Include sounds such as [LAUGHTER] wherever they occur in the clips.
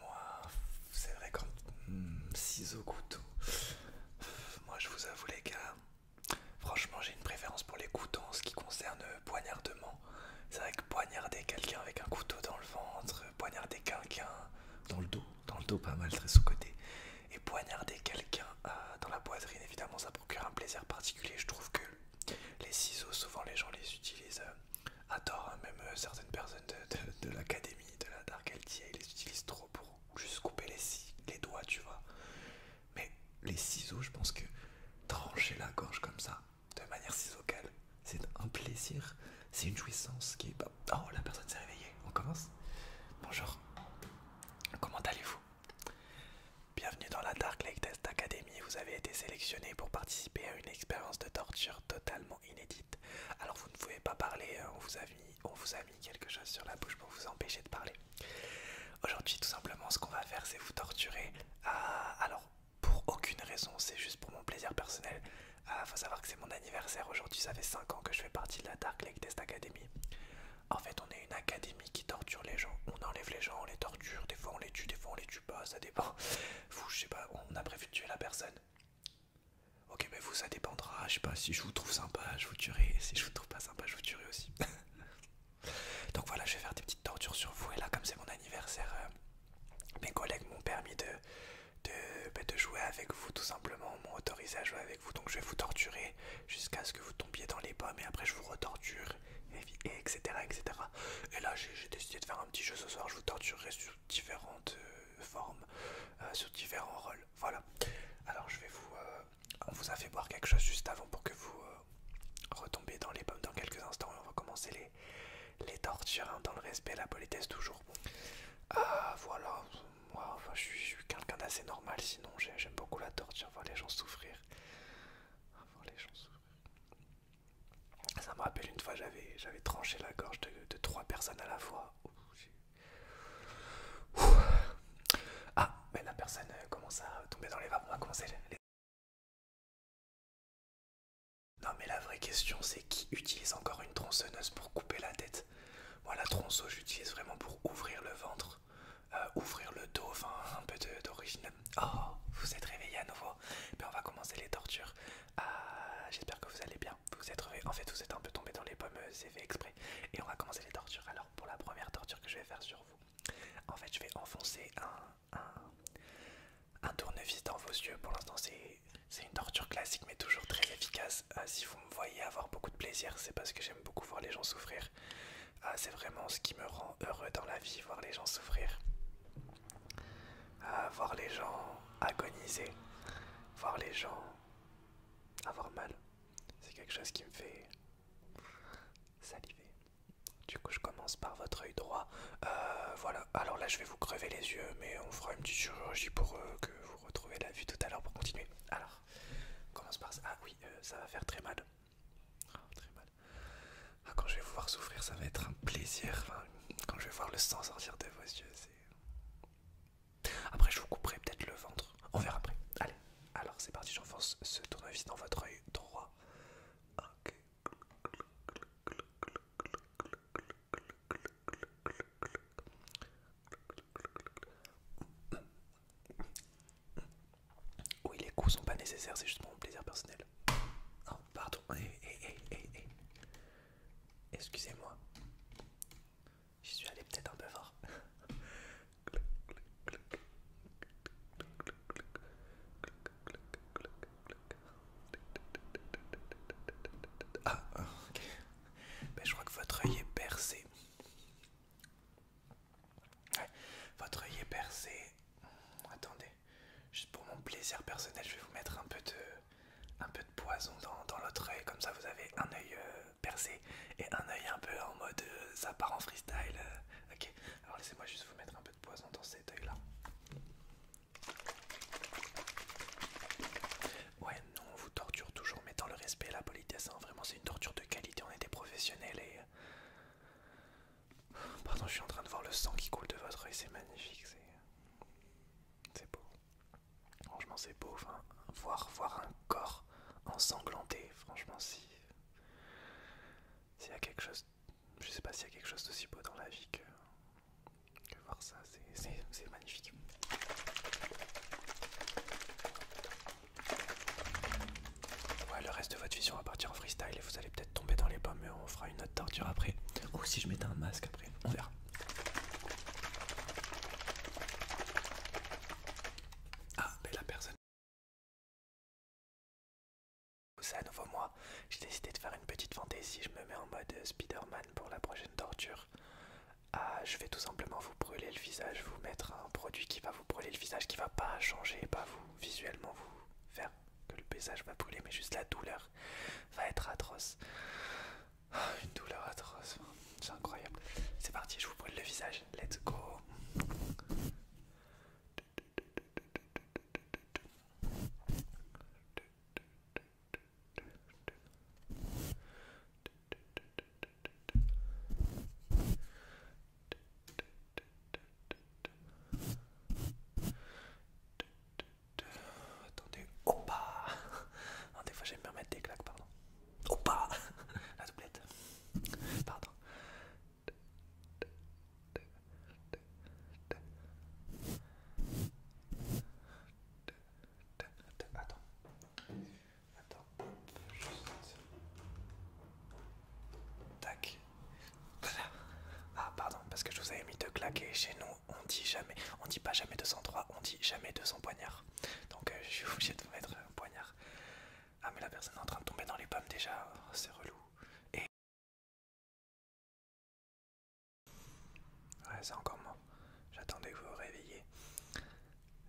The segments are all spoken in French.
Moi, c'est vrai quand ciseaux hmm, couteaux. Moi, je vous avoue les gars, franchement, j'ai une préférence pour les couteaux en ce qui concerne euh, poignardement. C'est vrai que poignarder quelqu'un avec un couteau dans le ventre, poignarder quelqu'un dans le dos, dans le dos pas mal très sous côté, et poignarder quelqu'un euh, dans la poitrine, évidemment, ça procure un plaisir particulier. Je trouve que les ciseaux, souvent les gens les utilisent euh, Adore, hein, même euh, certaines personnes de, l'académie, de la Dark LTA, ils les utilisent trop pour juste couper les, doigts, tu vois. Mais les ciseaux, je pense que trancher la gorge comme ça, de manière ciseaucale, c'est un plaisir, c'est une jouissance qui est... Oh, la personne s'est réveillée, on commence Bonjour, comment allez-vous Bienvenue dans la Dark Lake Test Academy vous avez été sélectionné pour participer à une expérience de torture totalement inédite. Alors vous ne pouvez pas parler, hein, on vous a mis, on vous a mis quelque chose sur la bouche pour vous empêcher de parler. Aujourd'hui, tout simplement, ce qu'on va faire, c'est vous torturer. Alors, pour aucune raison, c'est juste pour mon plaisir personnel. Il ah, faut savoir que c'est mon anniversaire aujourd'hui, ça fait 5 ans que je fais partie de la Dark Lake Test Academy. En fait, on est une académie qui torture les gens. On enlève les gens, on les torture, des fois on les tue, des fois on les tue sais pas, ça dépend. Vous, je sais pas, on a prévu de tuer la personne. Ok, mais vous, ça dépendra. Je sais pas, si je vous trouve sympa, je vous tuerai. si je vous trouve pas sympa, je vous tuerai aussi. [LAUGHS] Donc voilà, je vais faire des petites tortures sur vous. Et là, comme c'est mon anniversaire, euh, mes collègues m'ont permis de, de, bah, de jouer avec vous, tout simplement. M'ont autorisé à jouer avec vous. Donc je vais vous torturer jusqu'à ce que vous tombiez dans les pommes. Et après, je vous retorture et etc., etc. Et là, j'ai décidé de faire un petit jeu ce soir. Je vous torturerai sous différentes euh, formes, euh, sous sur différents rôles. Voilà. Alors, je vais vous. Euh, on vous a fait boire quelque chose juste avant pour que vous retombiez dans les pommes dans quelques instants. Et on va commencer les, les tortures hein, dans le respect et la politesse toujours. Ah, voilà. Moi, enfin, je suis, quelqu'un d'assez normal. Sinon, j'aime beaucoup la torture, voir les gens souffrir. Voir les gens souffrir. Ça me rappelle une fois, j'avais tranché la gorge de, trois personnes à la fois. Ah, mais la personne euh, commence à tomber dans les vapes. On va commencer les... Non mais la vraie question c'est qui utilise encore une tronçonneuse pour couper la tête Moi la tronçonneuse, j'utilise vraiment pour ouvrir le ventre, euh, ouvrir le dos, enfin un peu d'origine Oh, vous êtes réveillé à nouveau. Mais ben, on va commencer les tortures. Ah, j'espère que vous allez bien. Vous êtes réveillé. En fait, vous êtes un peu tombé dans les pommes, euh, c'est fait exprès. Et on va commencer les tortures. Alors, pour la première torture que je vais faire sur vous, en fait, je vais enfoncer un, un, tournevis dans vos yeux. Pour l'instant, c'est une torture classique, mais toujours très efficace. Euh, si vous me voyez avoir beaucoup de plaisir, c'est parce que j'aime beaucoup voir les gens souffrir. Ah, c'est vraiment ce qui me rend heureux dans la vie, voir les gens souffrir. Ah, voir les gens agoniser. Voir les gens avoir mal. C'est quelque chose qui me fait saliver. Du coup, je commence par votre œil droit. Euh, voilà, alors là, je vais vous crever les yeux, mais on fera une petite chirurgie pour eux que vous retrouviez la vue tout à l'heure pour continuer. Alors, on commence par ça. Ah oui, euh, ça va faire très mal. Oh, ah, quand je vais vous voir souffrir, ça va être un plaisir. quand je vais voir le sang sortir de vos yeux, c'est. Après, je vous couperai peut-être le ventre. On verra après. Allez, alors c'est parti, j'enfonce ce tournevis dans votre œil droit. Ok. Oui, les coups sont pas nécessaires, c'est juste pour mon plaisir personnel. Oh, pardon. Eh, eh, eh, Excusez-moi. J'y suis allé peut-être un peu fort. Ah, ok. Ben, je crois que votre œil est percé. Votre œil est percé. Attendez, juste pour mon plaisir personnel, je vais vous mettre un peu de, un peu de poison dans, l'autre œil, comme ça vous avez un œil euh, percé et un œil un peu en mode euh, apparent en freestyle. Euh, ok, alors laissez-moi juste vous mettre un peu de poison dans cet œil là. Ouais, non, on vous torture toujours, mettant le respect et la politesse, en hein, vraiment c'est une torture de qualité, on était des professionnels et... Euh, pardon, je suis en train de voir le sang qui coule de votre œil, c'est magnifique, c'est beau. Franchement, c'est beau, voir, voir un corps ensanglanté, franchement, si... S'il y a quelque chose... Je sais pas s'il y a quelque chose d'aussi beau dans la vie que... Que voir ça, c'est magnifique. Ouais, le reste de votre vision va partir en freestyle et vous allez peut-être tomber dans les pommes, mais on fera une autre torture après. Ou si je mettais un masque après, on verra. Ah, mais la personne. C'est à nouveau moi. J'ai décidé de faire une petite fantaisie. Je me mets en mode Spider-Man pour la prochaine torture. Ah, je vais tout simplement vous brûler le visage, vous mettre un produit qui va vous brûler le visage, qui va pas changer, pas vous visuellement vous faire que le visage va brûler, mais juste la douleur va être atroce. Ah, une douleur atroce, c'est incroyable. C'est parti, je vous brûle le visage, let's go. Attendez, opa non, Des fois j'aime bien mettre des claques, pardon. Opa La doublette. Pardon. Attends. Attends, juste. Tac. Voilà. Ah, pardon, parce que je vous avais mis deux claques chez nous, on dit jamais, on dit pas jamais 203, on dit jamais 200 poignards. Donc, euh, [LAUGHS] je suis obligé de vous mettre un poignard. Ah, mais la personne est en train de tomber dans les pommes déjà, oh, c'est relou. Et. Ouais, c'est encore moi. J'attendais que vous vous réveilliez.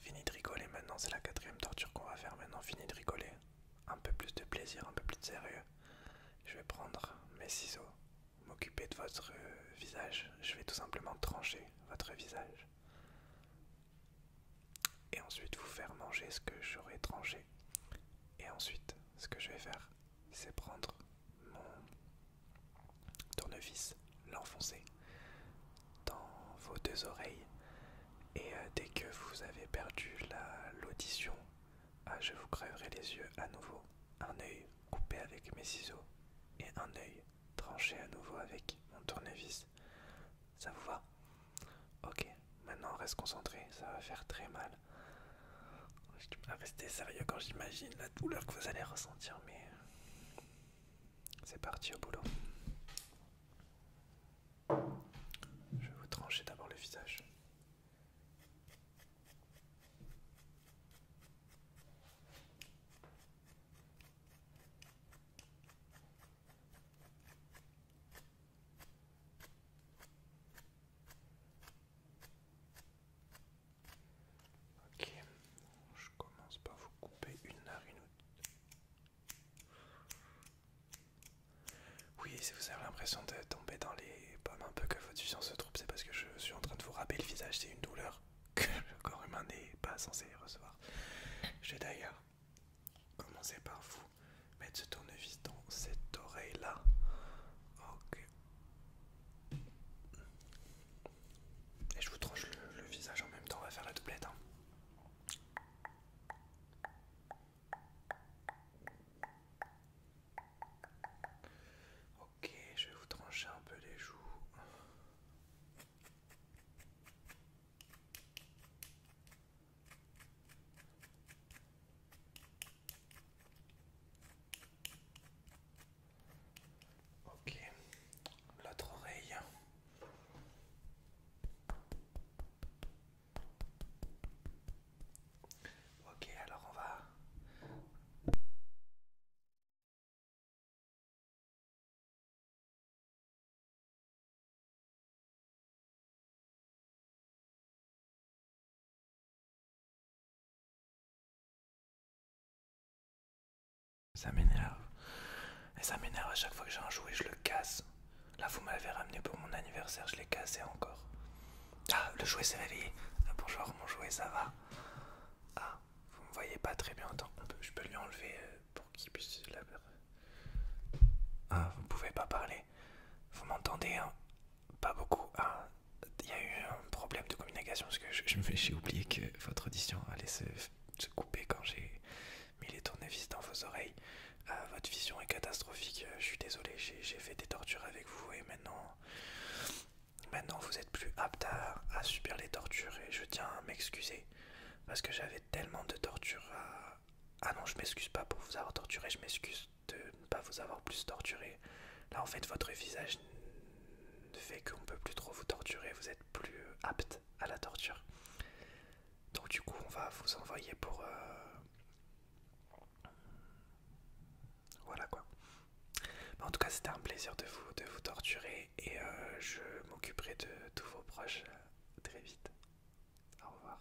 Fini de rigoler maintenant, c'est la quatrième torture qu'on va faire maintenant. Fini de rigoler. Un peu plus de plaisir, un peu plus de sérieux. Je vais prendre mes ciseaux, m'occuper de votre euh, visage. Je vais tout simplement trancher votre visage. Et ensuite vous faire manger ce que j'aurai tranché. Et ensuite, ce que je vais faire, c'est prendre mon tournevis, l'enfoncer dans vos deux oreilles. Et euh, dès que vous avez perdu l'audition, ah, je vous crèverai les yeux à nouveau. Un œil coupé avec mes ciseaux et un œil tranché à nouveau avec mon tournevis. Ça vous va Ok, maintenant reste concentré, ça va faire très mal. Je dois rester sérieux quand j'imagine la douleur que vous allez ressentir, mais euh, c'est parti au boulot. Je vais vous trancher d'abord le visage. Ok, je commence par vous couper une narine Oui, si vous avez l'impression de tomber dans les pommes un peu que votre vision se trouve, c'est parce que je suis en train de vous râper le visage, c'est une douleur [LAUGHS] que le corps humain n'est pas censé recevoir. Je vais d'ailleurs commencer par vous mettre ce tournevis dans cette oreille là. Ok, et je vous tranche le, visage en même temps, on va faire la doublette. Hein. Ok, je vais vous trancher un peu les joues. Ok, l'autre oreille. Ok, alors on va... Ça m'énerve. Et ça m'énerve à chaque fois que j'ai un jouet, je le casse. Là, vous m'avez ramené pour mon anniversaire, je l'ai cassé encore. Ah, le jouet s'est réveillé. Ah, bonjour, mon jouet, ça va Ah, vous me voyez pas très bien. Attends, je peux lui enlever euh, pour qu'il puisse la... Ah, vous ne pouvez pas parler. Vous m'entendez hein? pas beaucoup. Il y a eu un problème de communication parce que j'ai oublié que votre audition allait se, se couper quand j'ai mis les tournevis dans vos oreilles. Euh, votre vision est catastrophique. Euh, je suis désolé, j'ai fait des tortures avec vous et maintenant, maintenant vous êtes plus apte à, à subir les tortures et je tiens à m'excuser parce que j'avais tellement de tortures à... Ah non, je m'excuse pas pour vous avoir torturé, je m'excuse de ne pas vous avoir plus torturé. Là en fait votre visage fait qu'on ne peut plus trop vous torturer, vous êtes plus euh, apte à la torture. Donc du coup on va vous envoyer pour... Euh, voilà quoi. en tout cas c'était un plaisir de vous, de vous torturer et euh, je m'occuperai de tous vos proches très vite. Au revoir.